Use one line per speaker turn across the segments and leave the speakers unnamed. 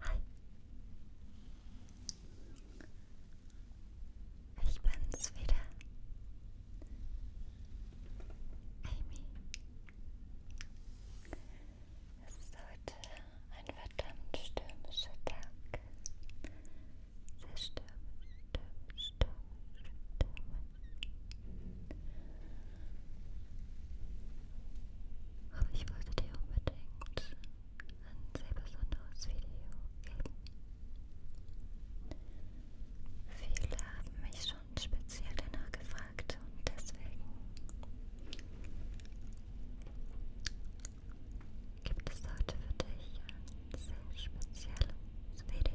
Hi. Ich bin's wieder. Amy. Es ist heute ein verdammt stürmischer Tag. Sehr stürmisch, stürmisch, stürmisch, stürmisch. Aber ich wollte dir unbedingt ein sehr besonderes Video geben. Viele haben mich schon speziell danach gefragt und deswegen gibt es heute für dich ein sehr spezielles Video.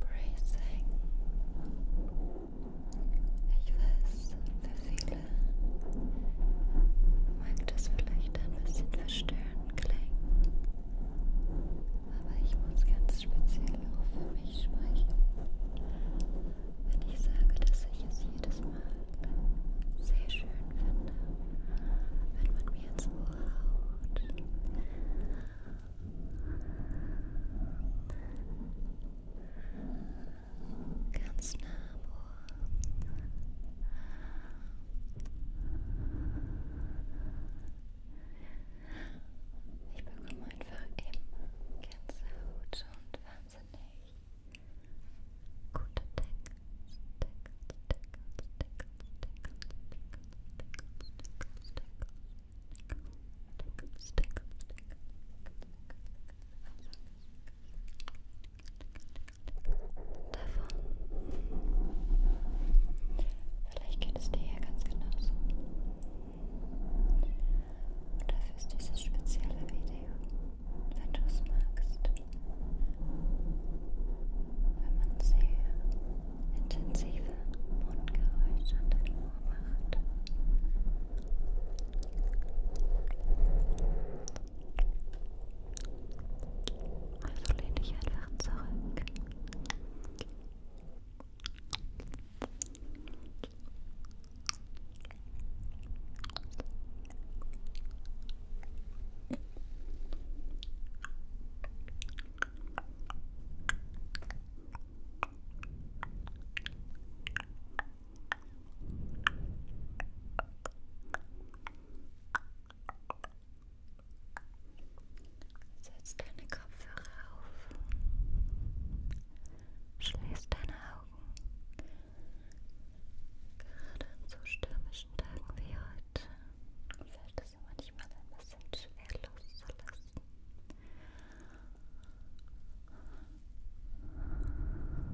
Bracing. Ich weiß, für viele mag das vielleicht ein bisschen verstörend klingen, aber ich muss ganz speziell auch für mich sprechen, wenn ich sage, dass ich es jedes Mal sehr schön finde, wenn man mir ins Ohr Haut. Ganz nah am Ohr. Ich bekomme einfach eben ganze Haut und wahnsinnig gute Texte. Vielleicht geht es dir ja ganz genauso. Und dafür ist dieses spezielle Video, wenn du es magst. Wenn man sehr intensive Mundgeräusche an dein Ohr macht. Also lehn dich einfach zurück. Setz deine Kopfhörer auf. Schließ deine Augen. Gerade an so stürmischen Tagen wie heute fällt es manchmal ein bisschen schwer loszulassen.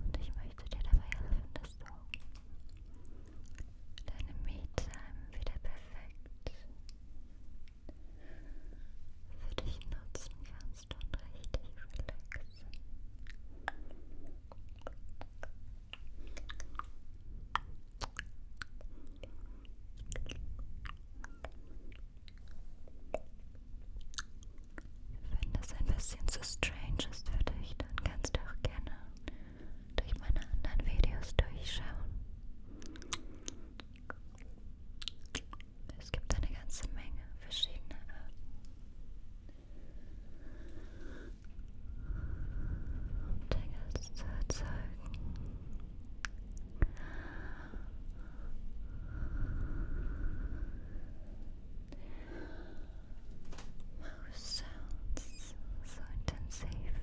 Und ich möchte dir dabei helfen, dass du deine Me-Time wieder perfekt für dich nutzen kannst und richtig relaxen. Wenn das ein bisschen zu strange ist für dich, dann kannst du auch gerne durch meine anderen Videos durchschauen. Es gibt eine ganze Menge verschiedene Arten. Dingens erzeugen. sounds so intensive.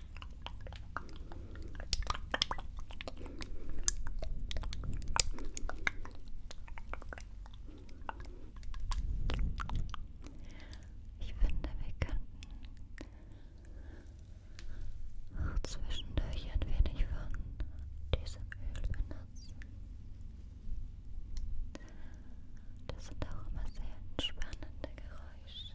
Ich finde, wir könnten auch zwischendurch ein wenig von diesem Öl benutzen. Das sind auch immer sehr entspannende Geräusche.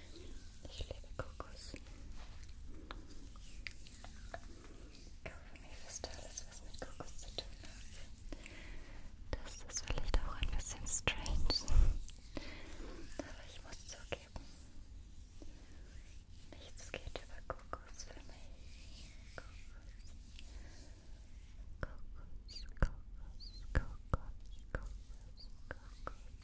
Ich liebe Kokos. Kaugummi ist alles, was mit Kokos zu tun hat. Das ist vielleicht auch ein bisschen strange. Aber ich muss zugeben, nichts geht über Kokos für mich. Kokos, Kokos, Kokos, Kokos, Kokos, Kokos.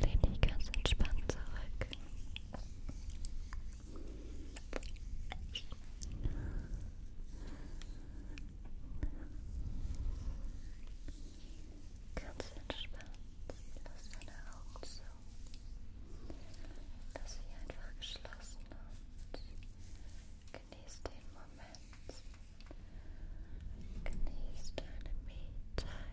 Lehn dich ganz entspannt zurück. Ganz entspannt lass deine Augen zu, lass sie einfach geschlossen und genieß den Moment. Genieß deine Me-Time.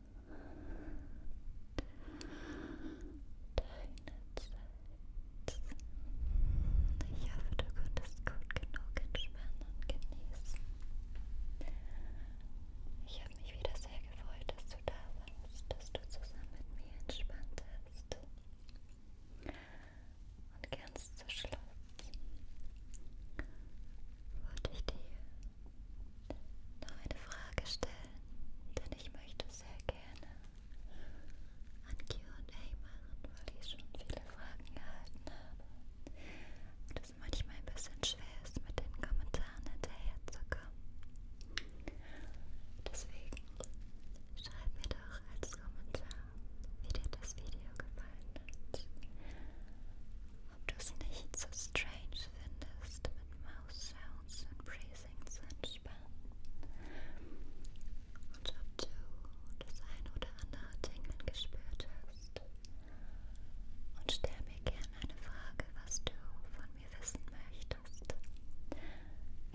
Zeit. Ich hoffe, du konntest gut genug entspannen und genießen. Ich habe mich wieder sehr gefreut, dass du da warst, dass du zusammen mit mir entspannt hast. Und ganz zum Schluss wollte ich dir noch eine Frage stellen, denn ich möchte sehr gerne ein QA machen, weil ich schon viele Fragen erhalten habe. Und es manchmal ein bisschen schwer ist, mit den Kommentaren hinterherzukommen. Deswegen schreib mir doch als Kommentar, wie dir das Video gefallen hat. Ob du es nicht so strange Zeit findest, mit Maus-Sounds und Phrasing zu entspannen und ob du das ein oder andere Tingeln gespürt hast. Und stell mir gerne eine Frage, was du von mir wissen möchtest.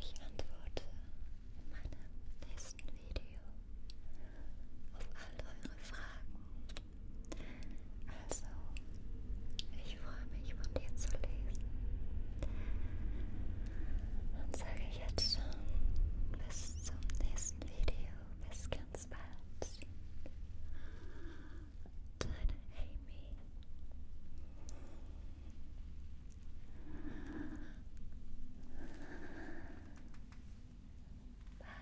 Ich antworte in meinem nächsten Video auf all eure Fragen. Also, ich freue mich von dir zu lesen. Und sage jetzt schon bis zum nächsten Video. Bis ganz bald. Deine Amy. Bye.